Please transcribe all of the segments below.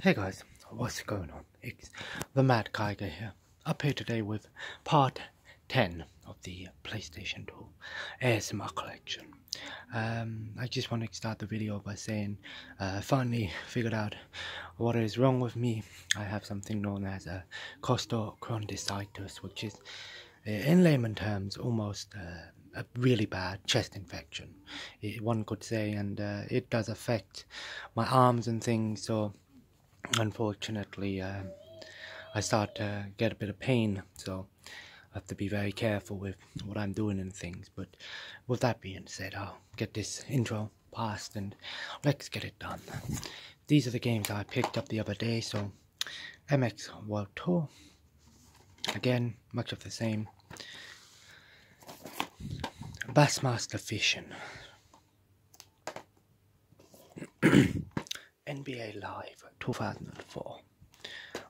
Hey guys, what's going on? It's the Mad Geiger here. Up here today with part 10 of the PlayStation 2 ASMR collection. Um, I just want to start the video by saying uh, finally figured out what is wrong with me. I have something known as a costochondritis, which is uh, in layman terms almost uh, a really bad chest infection. Eh, one could say, and uh, it does affect my arms and things. So, unfortunately, uh, I start to get a bit of pain. So, I have to be very careful with what I'm doing and things. But with that being said, I'll get this intro past and let's get it done. These are the games I picked up the other day. So, MX World Tour. Again, much of the same. Bassmaster fishing. NBA Live 2004.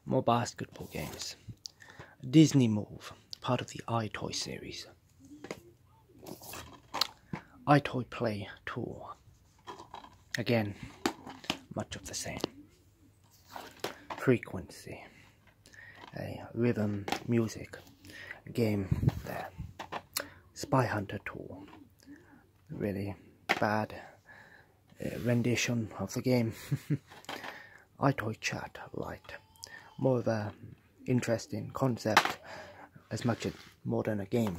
More basketball games. Disney Move, part of the iToy series. iToy Play Tour. Again, much of the same. Frequency a rhythm music game there. Spy Hunter 2. Really bad uh, rendition of the game. iToy Chat Lite. More of a interesting concept as much as more than a game.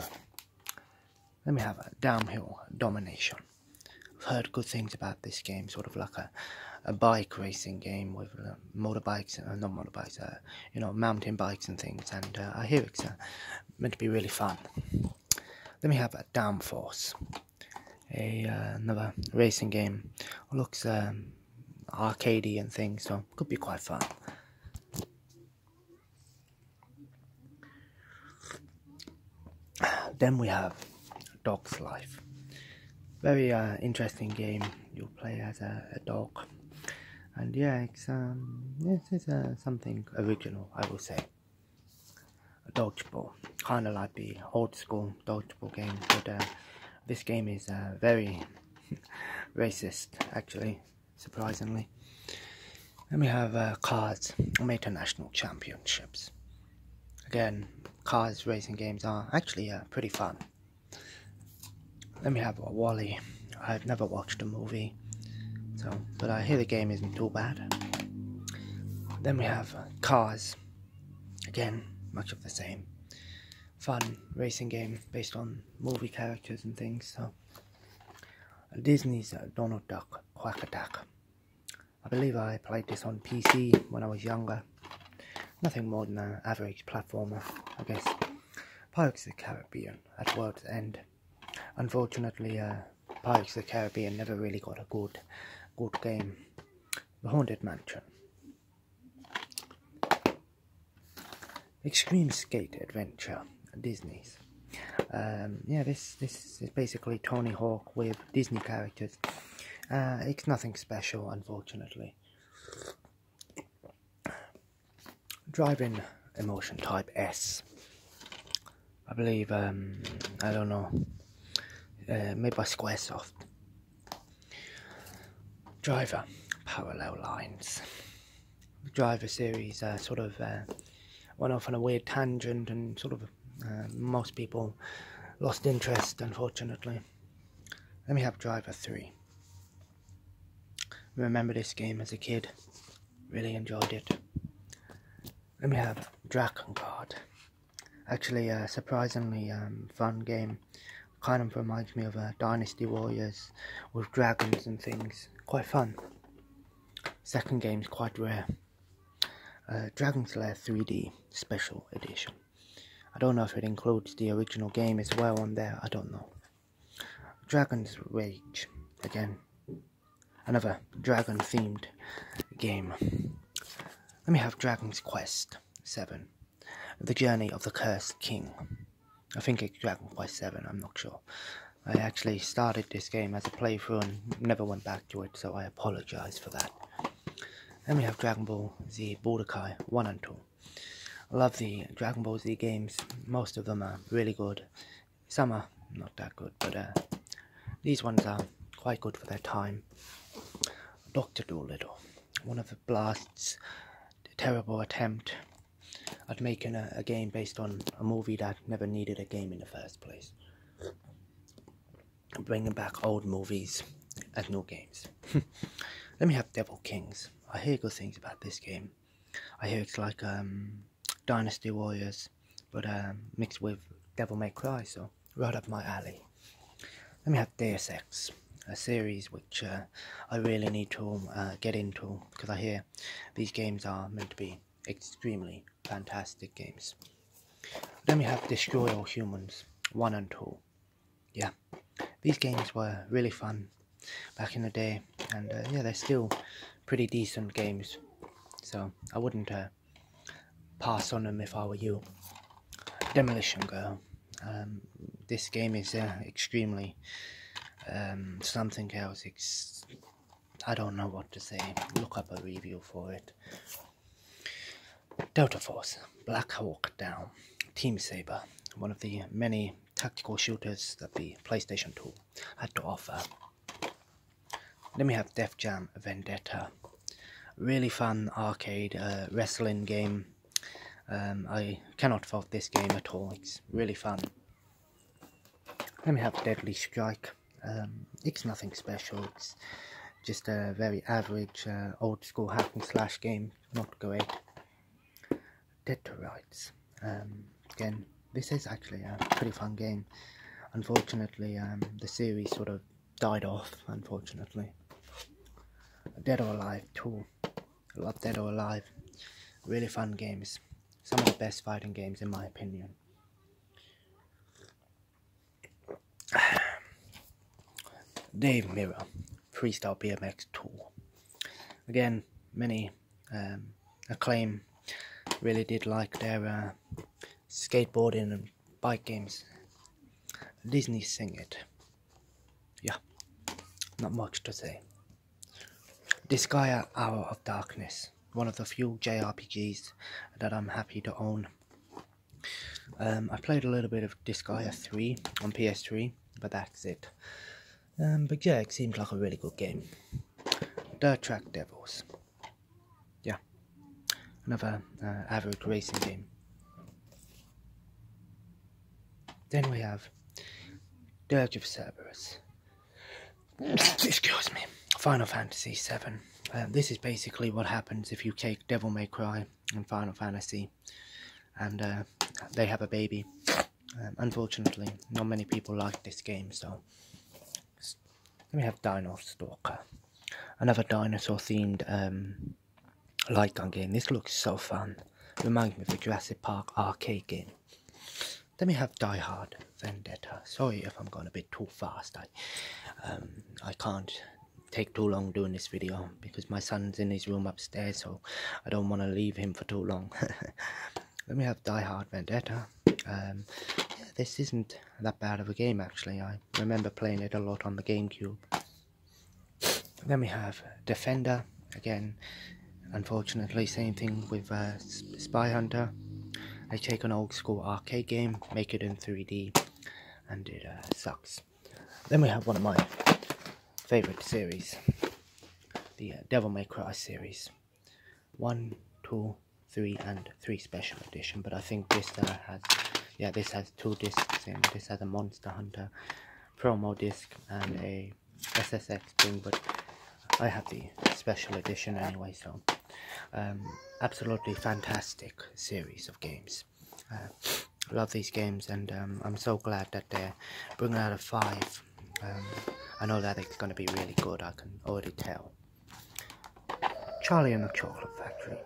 Let me have a downhill domination. heard good things about this game, sort of like a, a bike racing game with uh, motorbikes, and uh, not motorbikes, uh, you know, mountain bikes and things. And uh, I hear it's uh, meant to be really fun. Then we have a Downforce, another racing game. looks um, arcadey and things, so could be quite fun. Then we have Dog's Life. Very uh, interesting game. You play as a, dog, and yeah, it's this um, is uh, something original, I would say. A ball, kind of like the old school ball game, but uh, this game is very racist, actually, surprisingly. Then we have cars from international championships. Again, cars racing games are actually pretty fun. Let me have a Wally. I've never watched a movie, so but I hear the game isn't too bad. Then we have uh, Cars. Again, much of the same. Fun racing game based on movie characters and things. So Disney's uh, Donald Duck Quack Attack. I believe I played this on PC when I was younger. Nothing more than an average platformer, I guess. Pirates of the Caribbean at World's End. Unfortunately, uh, Pirates of the Caribbean never really got a good, good game. The Haunted Mansion. Extreme Skate Adventure, Disney's. Um, yeah, this this is basically Tony Hawk with Disney characters. Uh, it's nothing special, unfortunately a driving emotion type S. I believe, um, I don't know, uh, made by Squaresoft. Driver, parallel lines. Driver series uh, sort of uh, went off on a weird tangent and sort of most people lost interest, unfortunately. Let me have Driver 3. Remember this game as a kid. Really enjoyed it. Let me have Dragon Guard. Actually, a surprisingly um, fun game. Kind of reminds me of uh, Dynasty Warriors with dragons and things. Quite fun. Second game is quite rare. Uh, Dragon Slayer 3D Special Edition. I don't know if it includes the original game as well on there, I don't know. Dragon's Rage, again. Another dragon themed game. Let me have Dragon's Quest 7 The Journey of the Cursed King. I think it's Dragon Quest 7, I'm not sure. I actually started this game as a playthrough and never went back to it, so I apologize for that. Then we have Dragon Ball Z Budokai 1 and 2. I love the Dragon Ball Z games. Most of them are really good. Some are not that good, but uh, these ones are quite good for their time. Doctor Little, one of the Blast's terrible attempt at making a game based on a movie that never needed a game in the first place bringing back old movies and new games. Let me have Devil Kings. I hear good things about this game. I hear it's like um, Dynasty Warriors, but um, mixed with Devil May Cry, so right up my alley. Let me have Deus Ex, a series which uh, I really need to uh, get into because I hear these games are meant to be extremely fantastic games. Then we have Destroy All Humans 1 and 2 yeah, these games were really fun back in the day, and uh, yeah, they're still pretty decent games. So I wouldn't uh, pass on them if I were you. Demolition Girl. Um, this game is uh, extremely um, something else. I don't know what to say. Look up a review for it. Delta Force, Black Hawk Down, Team Saber, one of the many tactical shooters that the PlayStation 2 had to offer. Then we have Def Jam Vendetta, really fun arcade uh, wrestling game. Um, I cannot fault this game at all, it's really fun. Then we have Deadly Strike, um, it's nothing special, just a very average uh, old school hack and slash game, not great. Dead or Rights. Um, again, this is actually a pretty fun game. Unfortunately, um, the series sort of died off, unfortunately. Dead or Alive 2. love Dead or Alive. Really fun games. Some of the best fighting games in my opinion. Dave Mirra, Freestyle BMX Tour. Again, many um, acclaim. Really did like their uh, skateboarding and bike games. Disney sing it. Yeah, not much to say. This guy, Hour of Darkness, one of the few JRPGs that I'm happy to own. Um, I played a little bit of Disgaea 3 on PS3, but that's it. Um, but yeah, it seemed like a really good game. Dirt Track Devils. Yeah. Another uh, average racing game. Then we have Dirge of Cerberus. Excuse me. Final Fantasy Seven. Um, this is basically what happens if you take Devil May Cry and Final Fantasy and uh, they have a baby. Um, unfortunately, not many people like this game, so let me have Dinosaur Stalker, another dinosaur-themed um, light gun game. This looks so fun. Reminds me of the Jurassic Park arcade game. Let me have Die Hard Vendetta. Sorry if I'm going a bit too fast. I um, I can't take too long doing this video because my son's in his room upstairs so I don't want to leave him for too long let me have Die Hard Vendetta um, this isn't that bad of a game actually I remember playing it a lot on the GameCube then we have Defender again unfortunately same thing with uh, Spy Hunter I take an old school arcade game make it in 3D and it uh, sucks then we have one of my favourite series, the uh, Devil May Cry series. One, two, three, and three special edition. But I think this uh, has, yeah, this has two discs in. This has a Monster Hunter promo disc and a SSX thing, but I have the special edition anyway, so um, absolutely fantastic series of games. I uh, love these games, and um, I'm so glad that they're bringing out a five. Um, I know that it's going to be really good. I can already tell. Charlie and the Chocolate Factory.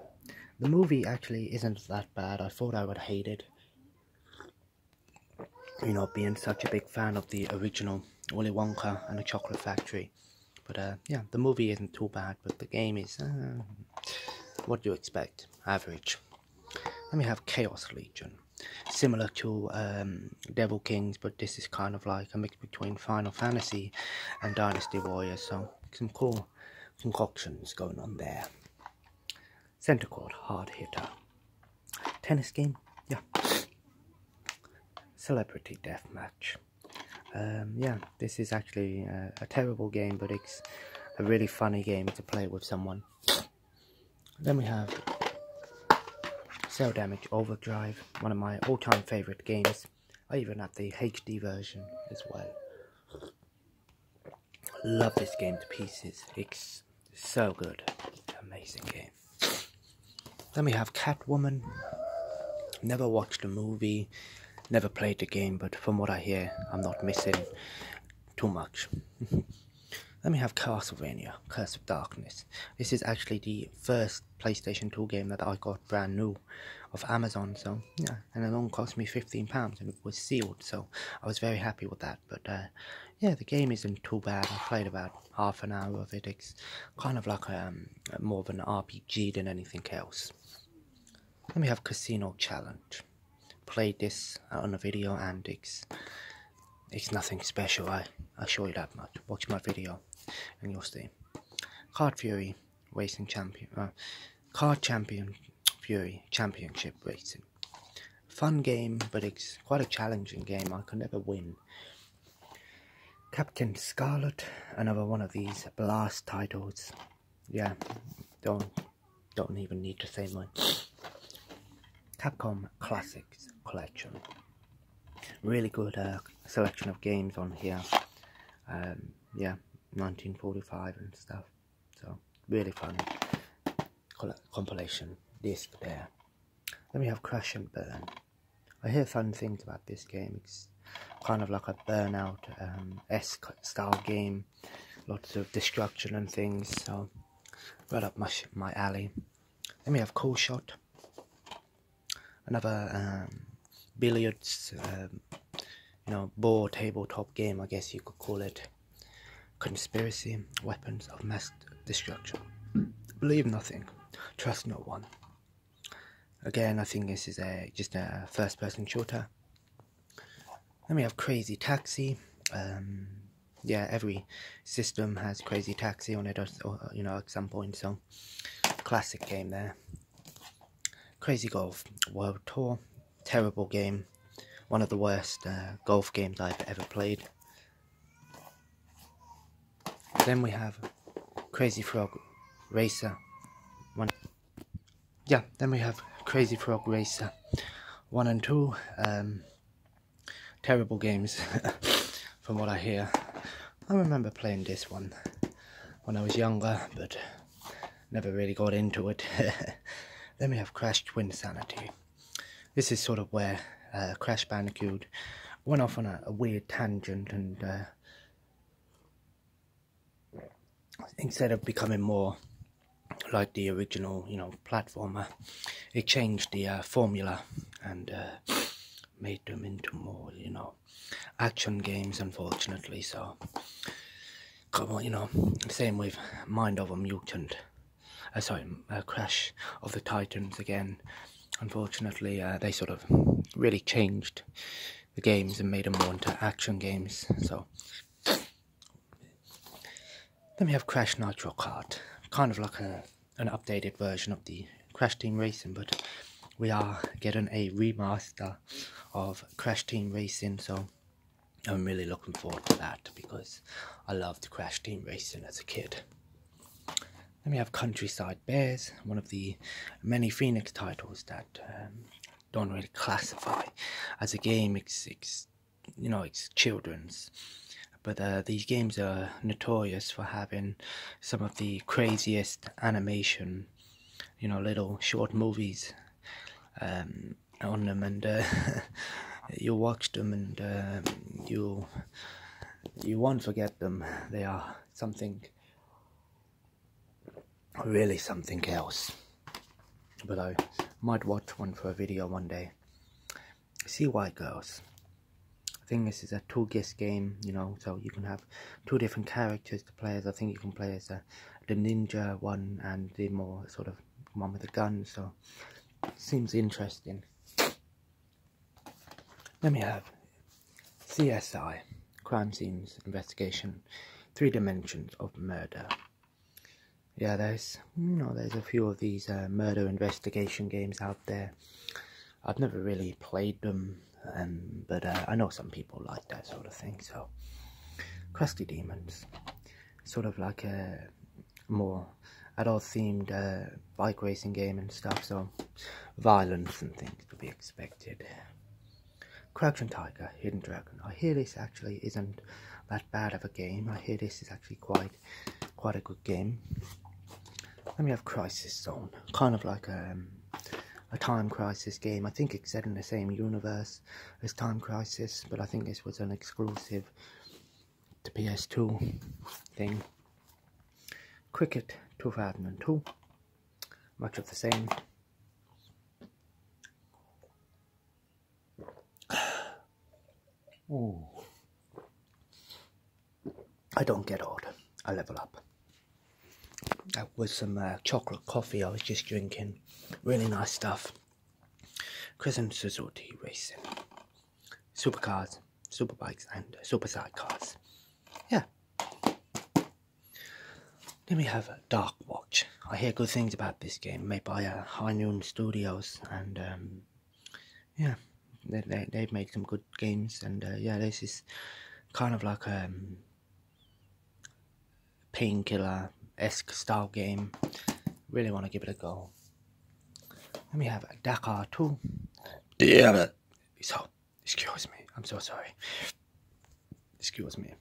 The movie actually isn't that bad. I thought I would hate it. You know, being such a big fan of the original Willy Wonka and the Chocolate Factory. But uh, yeah, the movie isn't too bad, but the game is uh, what do you expect? Average. Then we have Chaos Legion. Similar to um, Devil Kings, but this is kind of like a mix between Final Fantasy and Dynasty Warriors, so some cool concoctions going on there. Center court, hard hitter. Tennis game, yeah. Celebrity death match. Um, yeah, this is actually a, terrible game, but it's a really funny game to play with someone. Then we have Cell Damage Overdrive, one of my all-time favourite games. I even have the HD version as well. Love this game to pieces. It's so good. Amazing game. Then we have Catwoman. Never watched a movie. Never played the game, but from what I hear, I'm not missing too much. Let me have Castlevania, Curse of Darkness. This is actually the first PlayStation 2 game that I got brand new of Amazon, so yeah, and it only cost me £15 and it was sealed, so I was very happy with that. But uh, yeah, the game isn't too bad. I played about half an hour of it. It's kind of like a, um, more of an RPG than anything else let me have casino challenge played this on a video and it's it's nothing special i i show you that much watch my video and you'll see card fury racing champion uh, card champion fury championship racing fun game but it's quite a challenging game i could never win captain scarlet another one of these blast titles yeah, don't don't even need to say much. Capcom Classics Collection. Really good uh, selection of games on here. Um, yeah, 1945 and stuff. So really fun compilation disc there. Then we have Crash and Burn. I hear fun things about this game. It's kind of like a Burnout um, s style game lots of destruction and things. So right up my my alley. Let me have Cool Shot, another um, billiards, um, you know, board tabletop game. I guess you could call it. Conspiracy, weapons of mass destruction. Believe nothing, trust no one. Again, I think this is a just a first-person shooter. Then we have Crazy Taxi. Um, yeah, every system has Crazy Taxi on it, you know, at some point. So, classic game there. Crazy Golf World Tour. Terrible game. One of the worst uh, golf games I've ever played. Then we have Crazy Frog Racer. One yeah, then we have Crazy Frog Racer 1 and 2. Um, terrible games, from what I hear. I remember playing this one when I was younger, but never really got into it. then we have Crash Twin Sanity. This is sort of where uh, Crash Bandicoot went off on a, weird tangent and uh, instead of becoming more like the original, you know, platformer, it changed the uh, formula and uh, made them into more, you know, action games. Unfortunately, so come on, you know, same with Mind Over Mutant. Uh, sorry, Crash of the Titans again. Unfortunately, they sort of really changed the games and made them more into action games. So then we have Crash Nitro Kart, kind of like a an updated version of the Crash Team Racing, but we are getting a remaster of Crash Team Racing, so I'm really looking forward to that because I loved Crash Team Racing as a kid. Then we have Countryside Bears, one of the many Phoenix titles that um, don't really classify as a game. It's, it's you know it's children's, but uh, these games are notorious for having some of the craziest animation, you know, little short movies um, on them, and uh, you watch them and um, you you won't forget them. They are something really something else. But I might watch one for a video one day. See why girls. I think this is, a two-guest game, you know, so you can have two different characters to play as. I think you can play as uh, the ninja one and the more sort of one with a gun, so seems interesting. Let me have CSI, Crime Scenes Investigation, Three Dimensions of Murder yeah, there's you there's a few of these uh, murder investigation games out there. I've never really played them, um, but uh, I know some people like that sort of thing. So, Crusty Demons, sort of like a more adult themed uh, bike racing game and stuff. So, violence and things to be expected. Crouching Tiger, Hidden Dragon. I hear this actually isn't that bad of a game. I hear this is actually quite quite a good game. Then we have Crisis Zone, kind of like a, um, a Time Crisis game. I think it's set in the same universe as Time Crisis, but I think this was an exclusive to PS2 thing. Cricket 2002, much of the same. Ooh. I don't get old. I level up. With some uh, chocolate coffee I was just drinking. Really nice stuff. Chris and Suzuki Racing. Supercars, superbikes, and uh, super sidecars. Yeah. Then we have Dark Watch. I hear good things about this game, made by uh, High Noon Studios, and um, yeah, they, they, they've made some good games, and uh, yeah, this is kind of like a um, painkiller esque style game. Really want to give it a go. Let me have Dakar too. Damn it. So, excuse me, I'm so sorry excuse me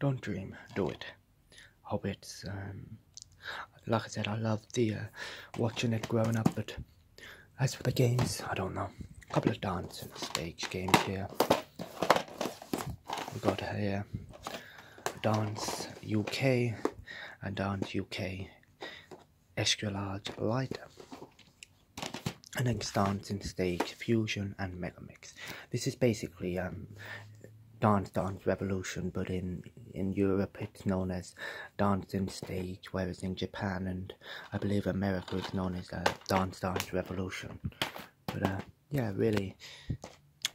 don't dream do it hope it's um, like i said i love the uh, watching it growing up but as for the games i don't know a couple of dance and stage games here we got here dance uk and dance uk extra light and then dance and stage fusion and mega this is basically um, Dance Dance Revolution, but in in Europe it's known as Dancing Stage, whereas in Japan and I believe America is known as uh, Dance Dance Revolution. But uh, yeah, really,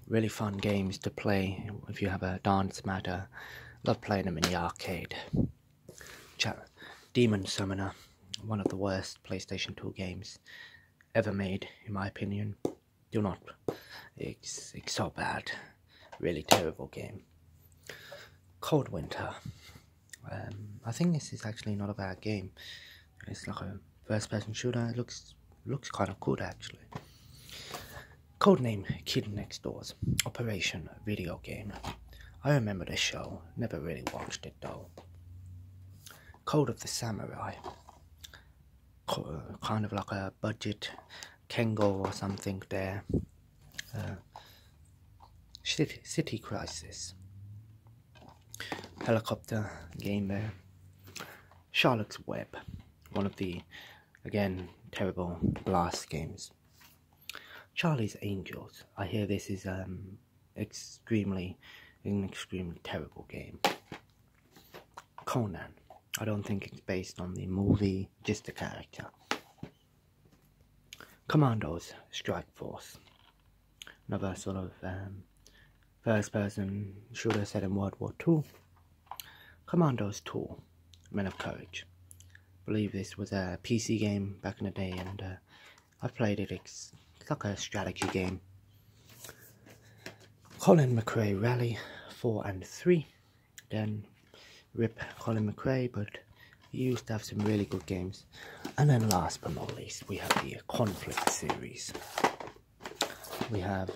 really fun games to play if you have a dance matter. Love playing them in the arcade. Demon Summoner, one of the worst PlayStation 2 games ever made, in my opinion. Do not. It's, it's so bad. Really terrible game. Cold Winter. Um, I think this is actually not a bad game. It's like a first-person shooter. It looks looks kind of good actually. Codename Kid Next Door's Operation video game. I remember the show, never really watched it though. Code of the Samurai kind of like a budget Kengo or something there. Uh, city, city Crisis. Helicopter game there. Charlotte's Web. One of the, again, terrible blast games. Charlie's Angels. I hear this is um, extremely, an extremely terrible game. Conan. I don't think it's based on the movie, just the character. Commandos Strike Force. Another sort of um, first person shooter set in World War II. Commandos 2 Men of Courage. believe this was a PC game back in the day and uh, I've played it it's like a strategy game. Colin McRae Rally 4 and 3. Then rip Colin McRae, but he used to have some really good games. And then last but not least, we have the Conflict series. We have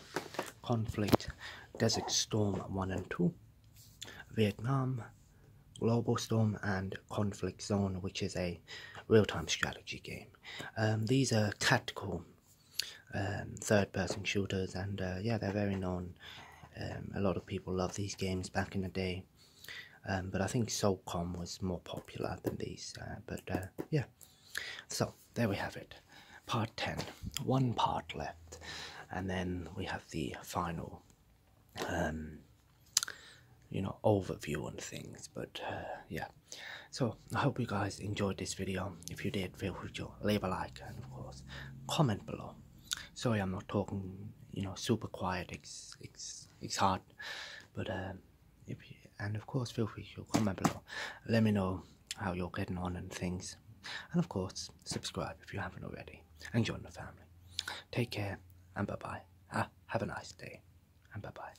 Conflict, Desert Storm 1 and 2, Vietnam, Global Storm, and Conflict Zone, which is a real-time strategy game. Um, these are tactical um, third-person shooters, and uh, yeah, they're very known. Um, a lot of people love these games back in the day, um, but I think Soulcom was more popular than these. Uh, but uh, yeah, so there we have it, part ten. One part left, and then we have the final. you know overview on things, but yeah, so i hope you guys enjoyed this video if you did feel free to leave a like and of course comment below sorry i'm not talking you know super quiet it's it's it's hard but um and of course feel free to comment below let me know how you're getting on and things and of course subscribe if you haven't already and join the family take care and bye bye ha have a nice day and bye bye